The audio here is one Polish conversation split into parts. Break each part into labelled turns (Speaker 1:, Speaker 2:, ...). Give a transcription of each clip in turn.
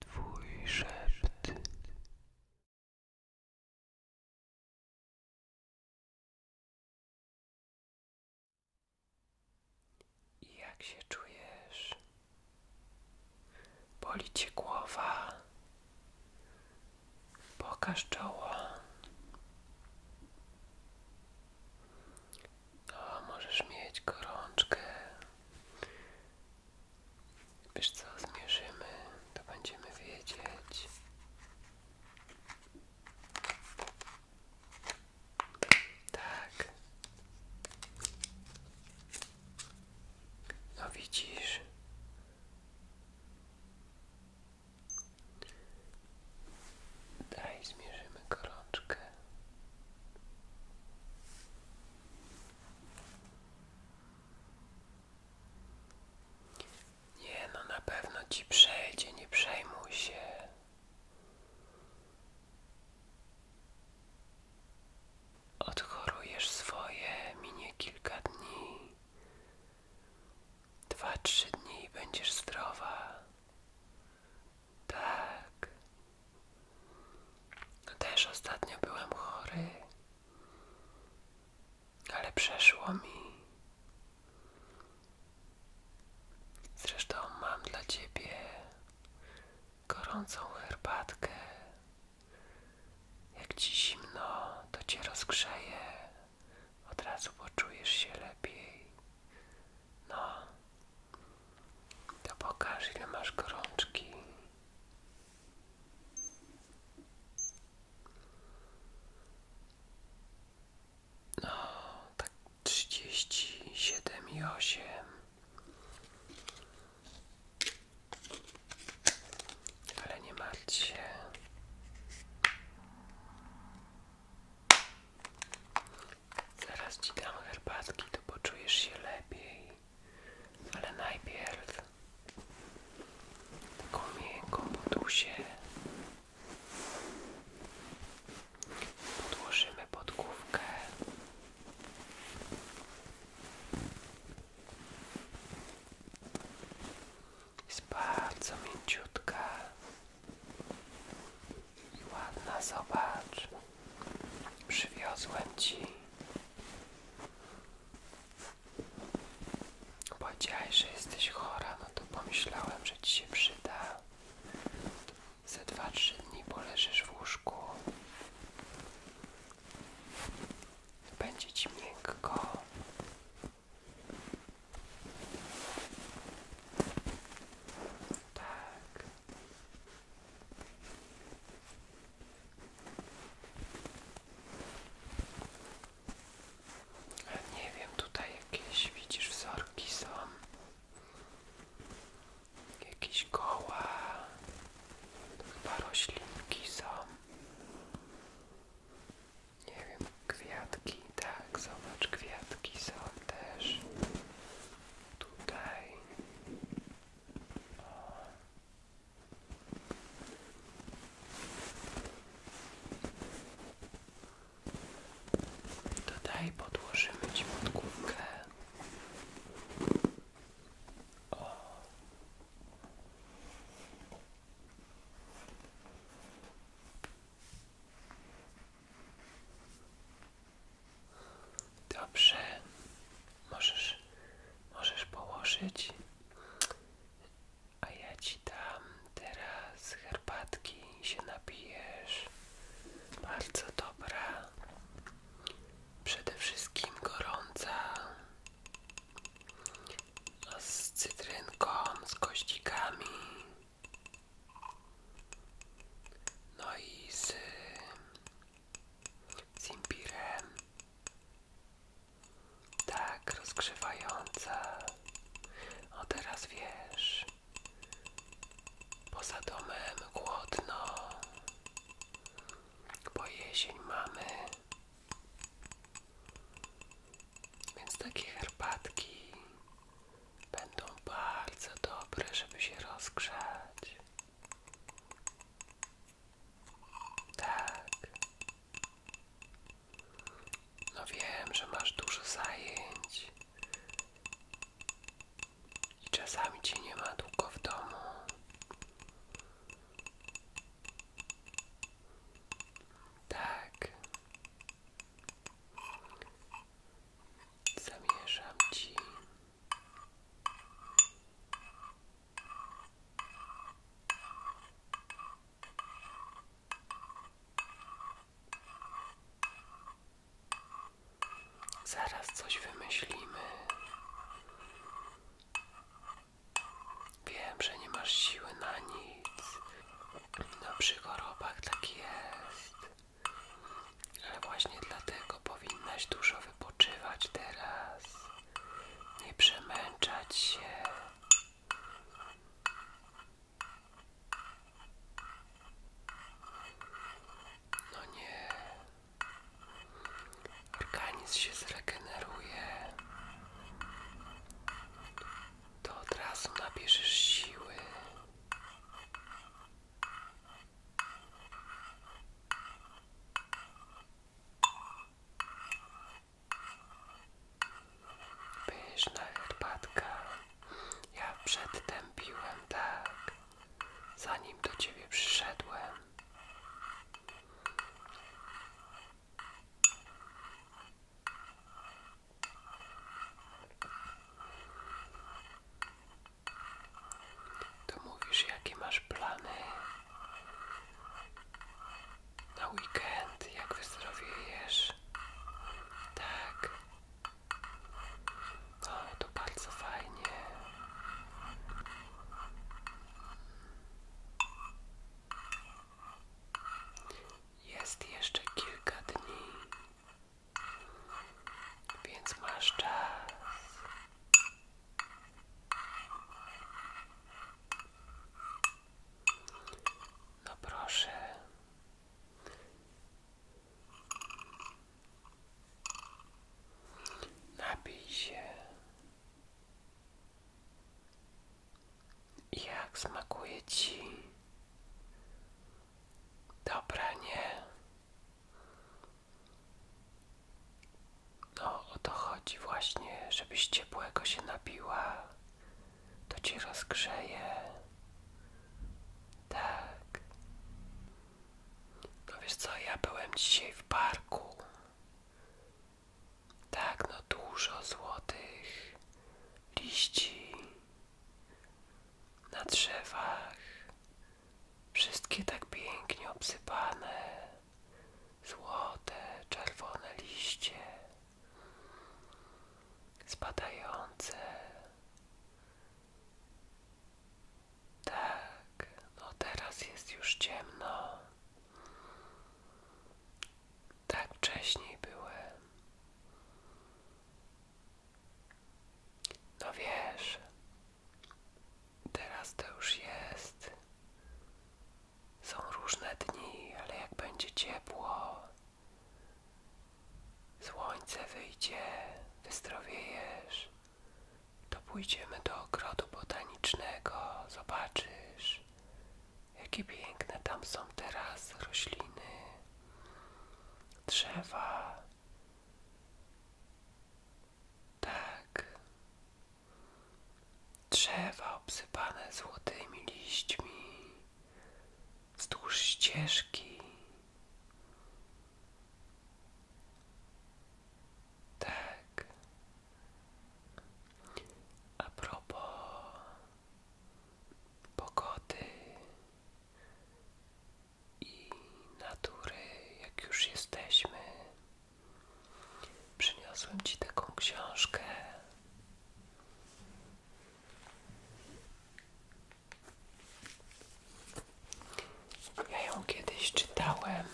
Speaker 1: Twój Jak się czujesz? Boli cię głowa? Pokaż czoło. O, możesz mieć gorączkę. Wiesz co, zmierzymy, to będziemy wiedzieć. Tak. No widzisz. Daj, zmierzymy gorączkę. Nie no, na pewno ci przejdzie, nie przejmuj się. Odchorujesz swoje, minie kilka dni. Dwa, trzy dni i będziesz zdrowa. Tak. No też ostatnio byłem chory, ale przeszło mi. Zresztą mam dla ciebie gorącą herbatkę. Jak ci zimno, to cię rozgrzeję Od razu poczujesz się lepiej. No, to pokaż ile masz gorączki. No, tak trzydzieści siedem i osiem. Ale nie martw Zaraz ci dam herbatki, to poczujesz się lepiej. Ale najpierw taką miękką podusię podłożymy pod główkę. Jest bardzo mięciutka. I ładna, zobacz. Przywiozłem ci. Powiedziałeś, że jesteś chora, no to pomyślałem, że ci się przyda. za dwa 3 dni poleżysz w łóżku. Będzie ci miękko. Tak. Nie wiem, tutaj jakieś widzisz wzorki są. Jakieś koła. To chyba roślinki są. Nie wiem, kwiatki, tak, zobacz, kwiatki są też tutaj o. tutaj podłożymy Ci pod Dobrze. Możesz, możesz położyć. A ja ci dam teraz herbatki się napijesz. Bardzo dobra. Przede wszystkim gorąca. Z cytrynką, z kościkami. No i z, z imbirem. Tak, rozgrzewająca. O teraz wiesz. Poza domem głodno. Bo jesień mamy. Więc takie herbatki będą bardzo dobre, żeby się rozgrzać. Tak. No wiem, że masz dużo zajęć i czasami cię nie ma długo w domu. Tak. Zamieszam ci. Zaraz coś wymyślimy. Wiem, że nie masz siły na nic. No przy chorobach tak jest. Ale właśnie dlatego powinnaś dużo wypoczywać teraz. Nie przemęczać się. No nie. Organizm się zregeneruje. To od razu nabierzesz siły. Pyszna herbatka. Ja przedtem piłem, tak, zanim do ciebie przyszedłem. To mówisz, jakie masz plany na weekend, jak wyzdrowiejesz. Tak. No, to bardzo fajnie. Jest jeszcze kilka dni, więc masz czas. No proszę. Napij jak smakuje ci? Dobra, nie. No, o to chodzi właśnie, żebyś ciepłego się nabiła. To ci rozgrzeje. Tak. No wiesz co, ja byłem dzisiaj w parku. Tak, no dużo złotych liści, na drzewach, wszystkie tak pięknie obsypane, złote, czerwone liście, spadające. Tak, no teraz jest już ciemno. Tak wcześniej byłem. No wiesz, teraz to już jest. Są różne dni, ale jak będzie ciepło, słońce wyjdzie, wyzdrowiejesz, to pójdziemy do ogrodu botanicznego, zobaczysz. Zobacz, jakie piękne tam są teraz rośliny, drzewa. Tak, drzewa obsypane złotymi liśćmi wzdłuż ścieżki. Tak. A propos pogody i natury, jak już jesteśmy. Przyniosłem Ci taką książkę. Ja ją kiedyś czytałem.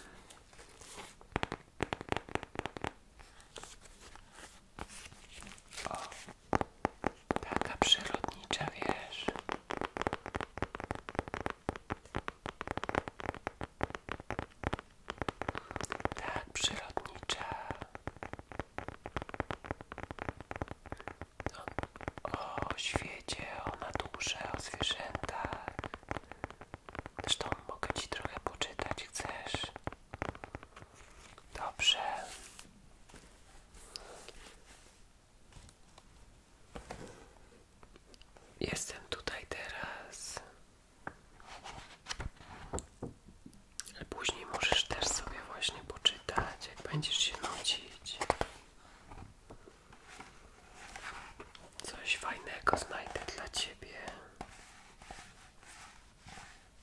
Speaker 1: O, taka przyrodnicza, wiesz. Tak, przyrodnicza. No, o świecie, o naturze, o zwierzętach. Zresztą mogę ci trochę poczytać, chcesz? Dobrze. Jestem tutaj teraz. Później możesz też sobie właśnie poczytać, jak będziesz się nudzić. Coś fajnego znajdę dla ciebie.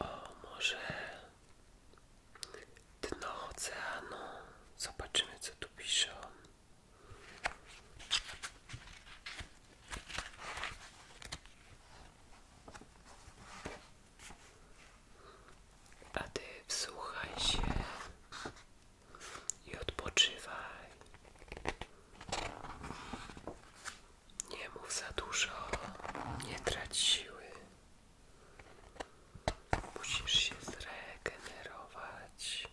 Speaker 1: O, może dno oceanu. Zobaczymy, co tu pisze A ty wsłuchaj się i odpoczywaj. Nie mów za dużo, nie traci siły. Musisz się zregenerować,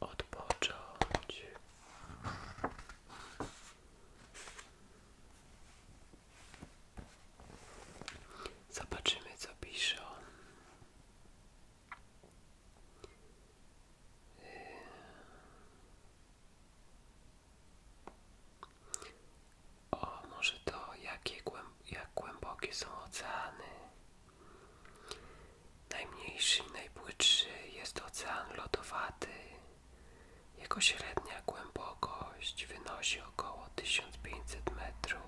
Speaker 1: odpocząć. Zobaczymy, co piszą. O, może to jakie jak głębokie są oceany? Najmniejszy i najpłytszy jest ocean lodowaty. Jego średnia głębokość wynosi około 1500 metrów.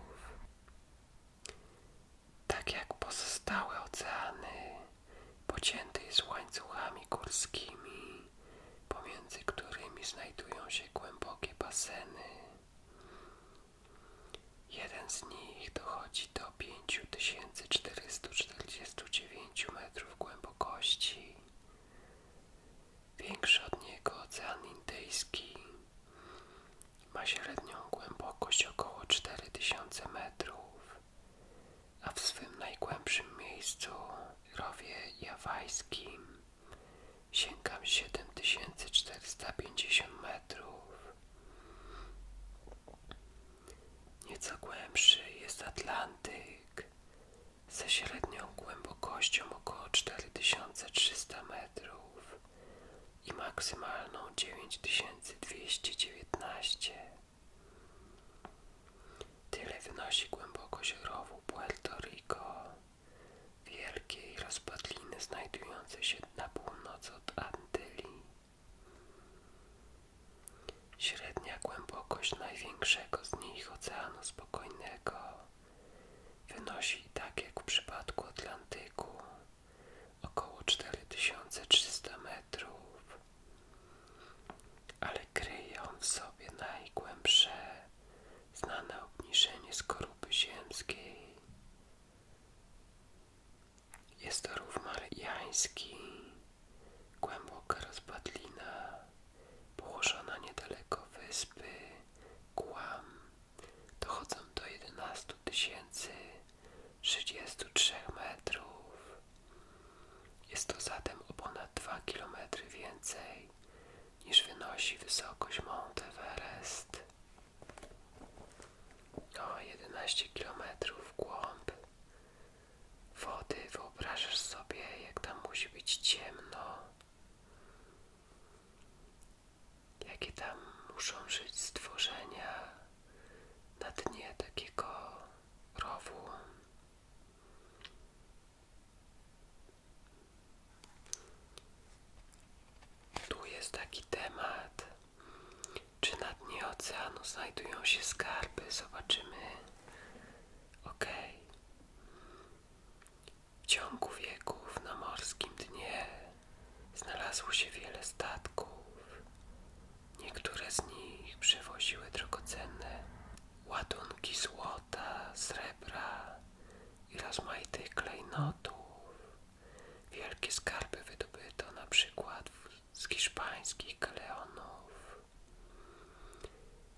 Speaker 1: Tak jak pozostałe oceany, pocięty jest łańcuchami górskimi, pomiędzy którymi znajdują się głębokie baseny. Jeden z nich dochodzi do 5449 metrów głębokości. Większy od niego Ocean Indyjski ma średnią głębokość około 4000 metrów a w swym najgłębszym miejscu, rowie jawajskim, sięgam 7450 metrów. Nieco głębszy jest Atlantyk ze średnią głębokością około 4300 metrów i maksymalną 9219. Tyle wynosi głębokość rowu Puerto Rico, wielkiej rozpadliny znajdującej się na północ od Antyli. Średnia głębokość największego z nich Oceanu Spokojnego wynosi, tak jak w przypadku Atlantyku, około 4300 metrów, ale kryje on w sobie najgłębsze znane obniżenie skorupy ziemskiej. Jest to rów mariański, głęboka rozpadlina, położona niedaleko wyspy Guam. Dochodzą do 11 tysięcy 33 metrów. Jest to zatem o ponad 2 kilometry więcej niż wynosi wysokość Mount Everest. O 11 kilometrów w wody. Wyobrażasz sobie, jak tam musi być ciemno. Jakie tam muszą żyć stworzenia na dnie takiego rowu. Tu jest taki temat, czy na dnie oceanu znajdują się skarby. Zobaczymy. Ok. W ciągu wieków na morskim dnie znalazło się wiele statków. Niektóre z nich przewoziły drogocenne ładunki złota, srebra i rozmaitych klejnotów. Wielkie skarby wydobyto na przykład z hiszpańskich galeonów,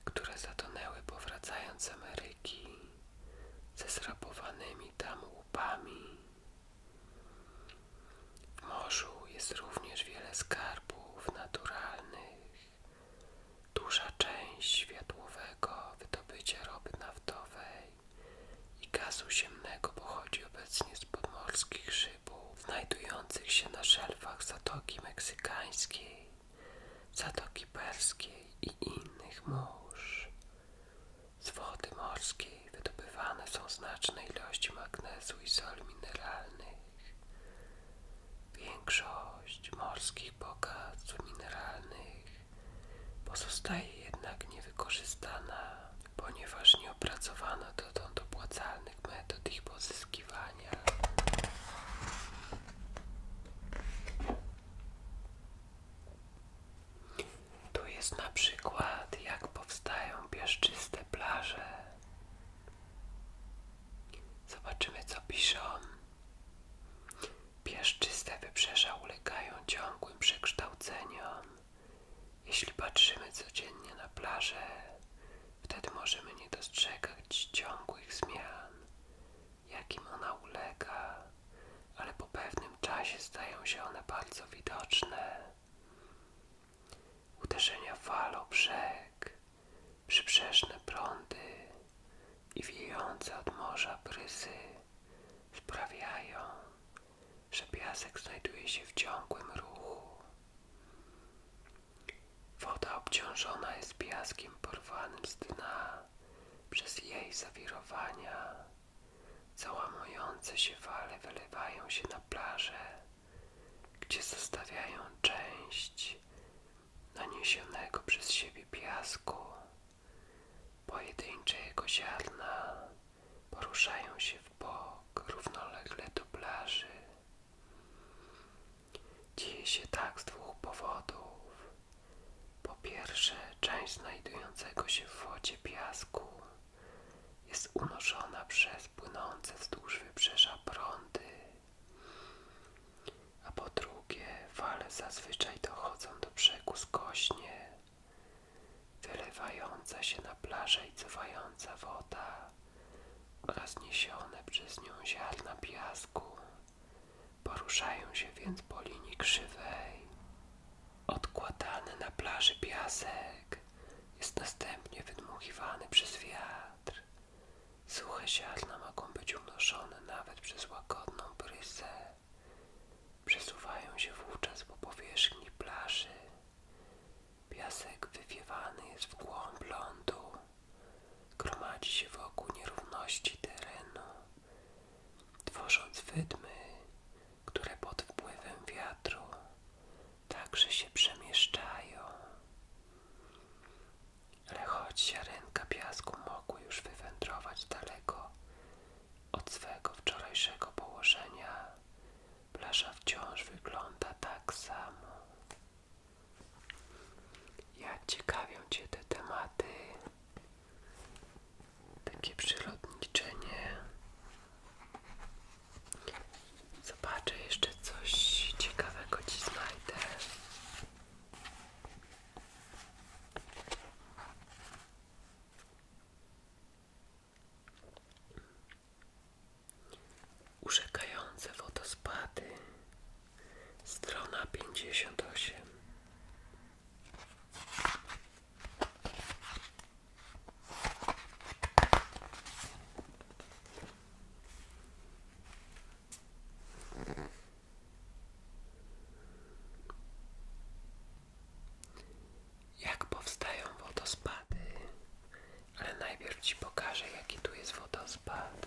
Speaker 1: które zatonęły powracając z Ameryki ze zrabowanymi tam łupami w morzu jest również wiele skarbów naturalnych. Duża część światłowego wydobycia ropy naftowej i gazu ziemnego pochodzi obecnie z podmorskich szybów znajdujących się na szelfach Zatoki Meksykańskiej, Zatoki Perskiej i innych mórz. Z wody morskiej wydobywane są znaczne ilości magnezu i soli mineralnych. Większość morskich bogactw mineralnych pozostaje jednak niewykorzystana, ponieważ nie opracowano dotąd opłacalnych metod ich pozyskiwania. Tu jest na przykład jak powstają piaszczyste plaże. Zobaczymy co piszą. Piaszczyste wybrzeża ulegają ciągłym przekształceniom. Jeśli patrzymy codziennie na plażę, wtedy możemy nie dostrzegać ciągłych zmian, jakim ona ulega, ale po pewnym w czasie stają się one bardzo widoczne. Uderzenia fal o brzeg, przybrzeżne prądy i wiejące od morza bryzy sprawiają, że piasek znajduje się w ciągłym ruchu. Woda obciążona jest piaskiem porwanym z dna przez jej zawirowania. Załamujące się fale wylewają się na plażę, gdzie zostawiają część naniesionego przez siebie piasku, pojedynczego ziarna, poruszają się w bok równolegle do plaży. Dzieje się tak z dwóch powodów. Po pierwsze, część znajdującego się w wodzie piasku jest unoszona przez płynące wzdłuż wybrzeża prądy, a po drugie fale zazwyczaj dochodzą do brzegu skośnie, wylewająca się na plażę i cofająca woda oraz niesione przez nią ziarna piasku poruszają się więc po linii krzywej Odkładany na plaży piasek jest następnie wydmuchiwany przez wiatr. Suche ziarna mogą być unoszone nawet przez łagodną bryzę. Przesuwają się wówczas po powierzchni plaży. Piasek wywiewany jest w głąb lądu. Gromadzi się wokół nierówności terenu, tworząc wydmy, które pod wpływem wiatru także się przemieszczają. Ale choć ziarenka piasku mogły już wywędrować daleko od swego wczorajszego położenia, plaża wciąż wygląda tak samo. Ja ciekawią Cię te tematy. Takie przyrodniczenie. Zobaczę jeszcze coś ciekawego ci znajdę. Urzekające wodospady. Strona pięćdziesiąt osiem. Jak powstają wodospady? Ale najpierw Ci pokażę, jaki tu jest wodospad.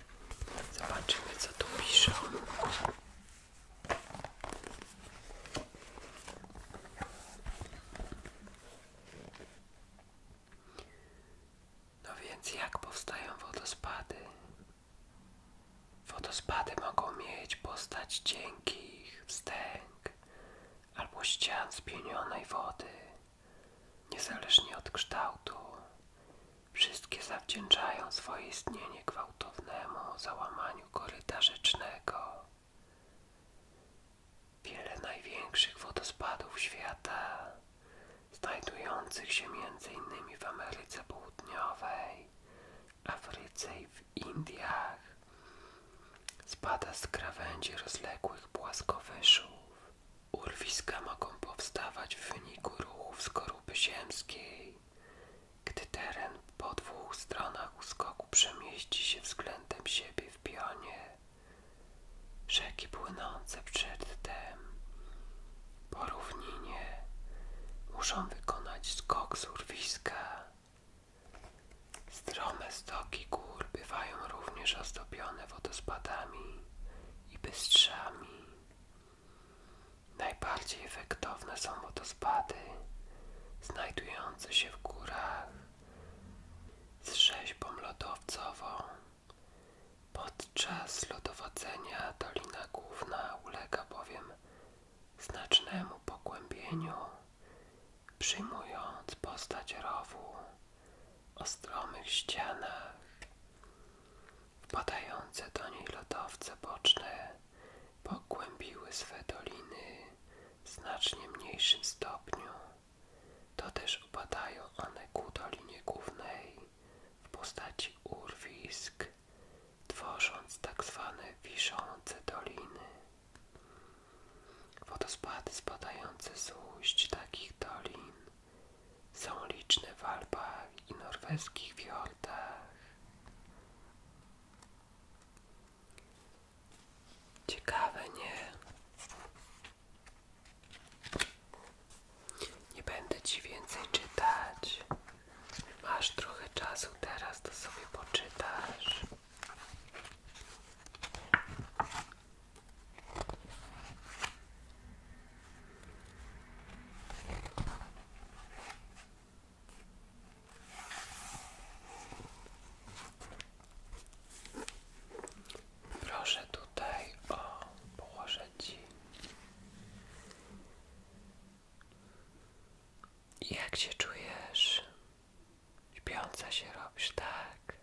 Speaker 1: Zobaczymy, co tu piszą. No więc jak powstają wodospady? Wodospady mogą mieć postać cienkich wstęg albo ścian spienionej wody, niezależnie od kształtu. Wszystkie zawdzięczają swoje istnienie gwałtownemu załamaniu koryta rzecznego. Wiele największych wodospadów świata, znajdujących się m.in. w Ameryce Południowej, Afryce i w Indiach, spada z krawędzi rozległych płaskowyżów, Urwiska mogą powstawać w wyniku ruchów skorupy ziemskiej, gdy teren po dwóch stronach skoku przemieści się względem siebie w pionie. Rzeki płynące przedtem po równinie muszą wykonać skok z urwiska. Strome stoki gór bywają również ozdobione wodospadami i bystrzami. Najbardziej efektowne są wodospady znajdujące się w górach z rzeźbą lodowcową. Podczas lodowodzenia Dolina Główna ulega bowiem znacznemu pogłębieniu, przyjmując postać rowu o stromych ścianach. Wpadające do niej lodowce boczne pogłębiły swe doliny w znacznie mniejszym stopniu. To też upadają one ku dolinie głównej w postaci urwisk, tworząc tak zwane wiszące doliny. Wodospady spadające z ujść takich dolin są liczne w Alpach i norweskich fiordach. Ciekawe, nie? Nie będę ci więcej czytać. Masz trochę czasu teraz, to sobie poczytasz. Proszę tutaj o położę ci. Jak się czujesz? Śpiąca się robisz, tak?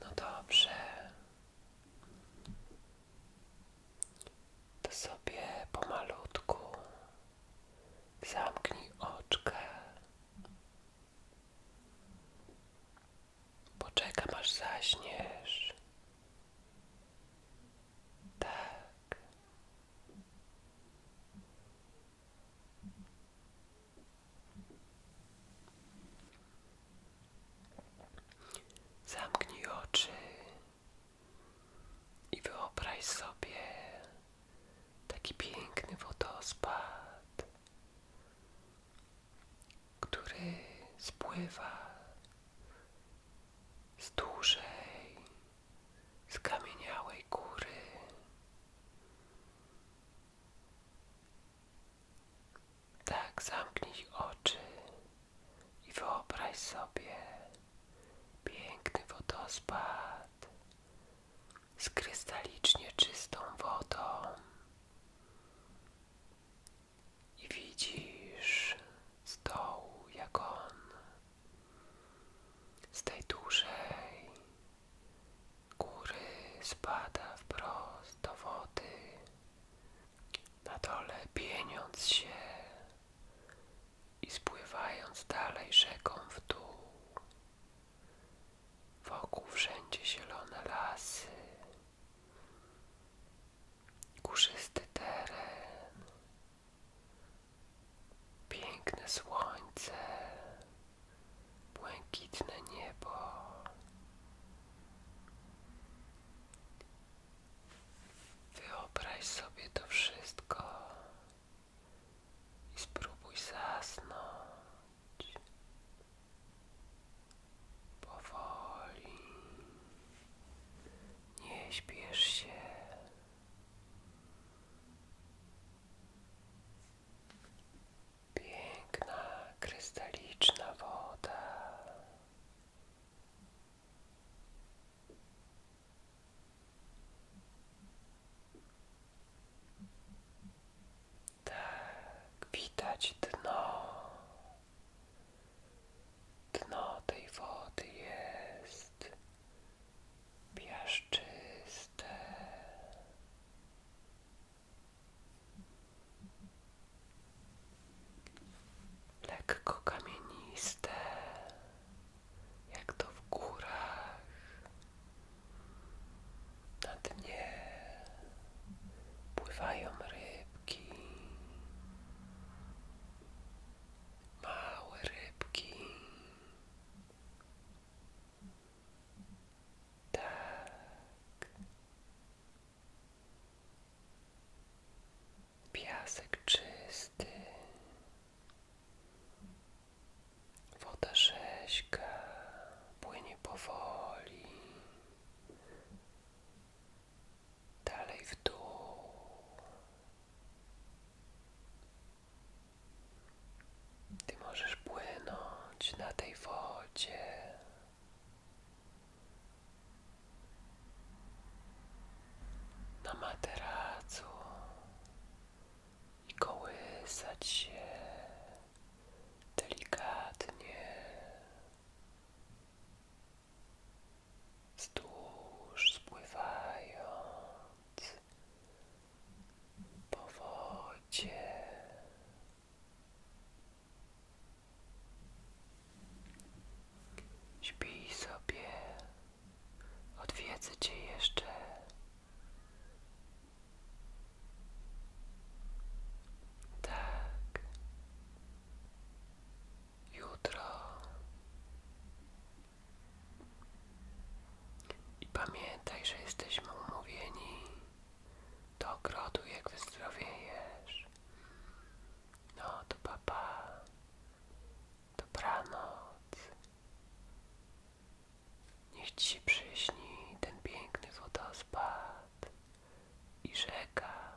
Speaker 1: No dobrze. To sobie pomalutku zamknij oczka. Poczekam aż zaśniesz. Tak. Zamknij oczy i wyobraź sobie taki piękny wodospad, który spływa z dużej, skamieniałej góry. Tak, zamknij oczy i wyobraź sobie piękny wodospad z krystalicznie czystą wodą. I widzisz z dołu, jak on z tej dużej, góry spada wprost do wody, na dole pieniąc się i spływając dalej rzeką w dół. Wokół wszędzie zielone lasy, górzysty teren, piękne słońce błękitne niebo. Wyobraź sobie to wszystko i spróbuj zasnąć powoli. Nie śpiesz się. Piękna, krystaliczna woda. Tak, widać dno. Dno tej wody jest piaszczyste lekko kamieniste, jak to w górach, na dnie pływają rybki, małe rybki. Tak. Piasek czysty. Woda rzeźka płynie powoli. Dalej w dół. Ty możesz płynąć na tej wodzie. Na materacu i kołysać się delikatnie wzdłuż spływają po wodzie Śpij sobie, odwiedzę cię jeszcze. Tak. Jutro. I pamiętaj, że jesteśmy umówieni do ogrodu, jak wyzdrowiejesz. No, to papa. do Dobranoc. Niech ci się przyśni ten piękny wodospad i rzeka.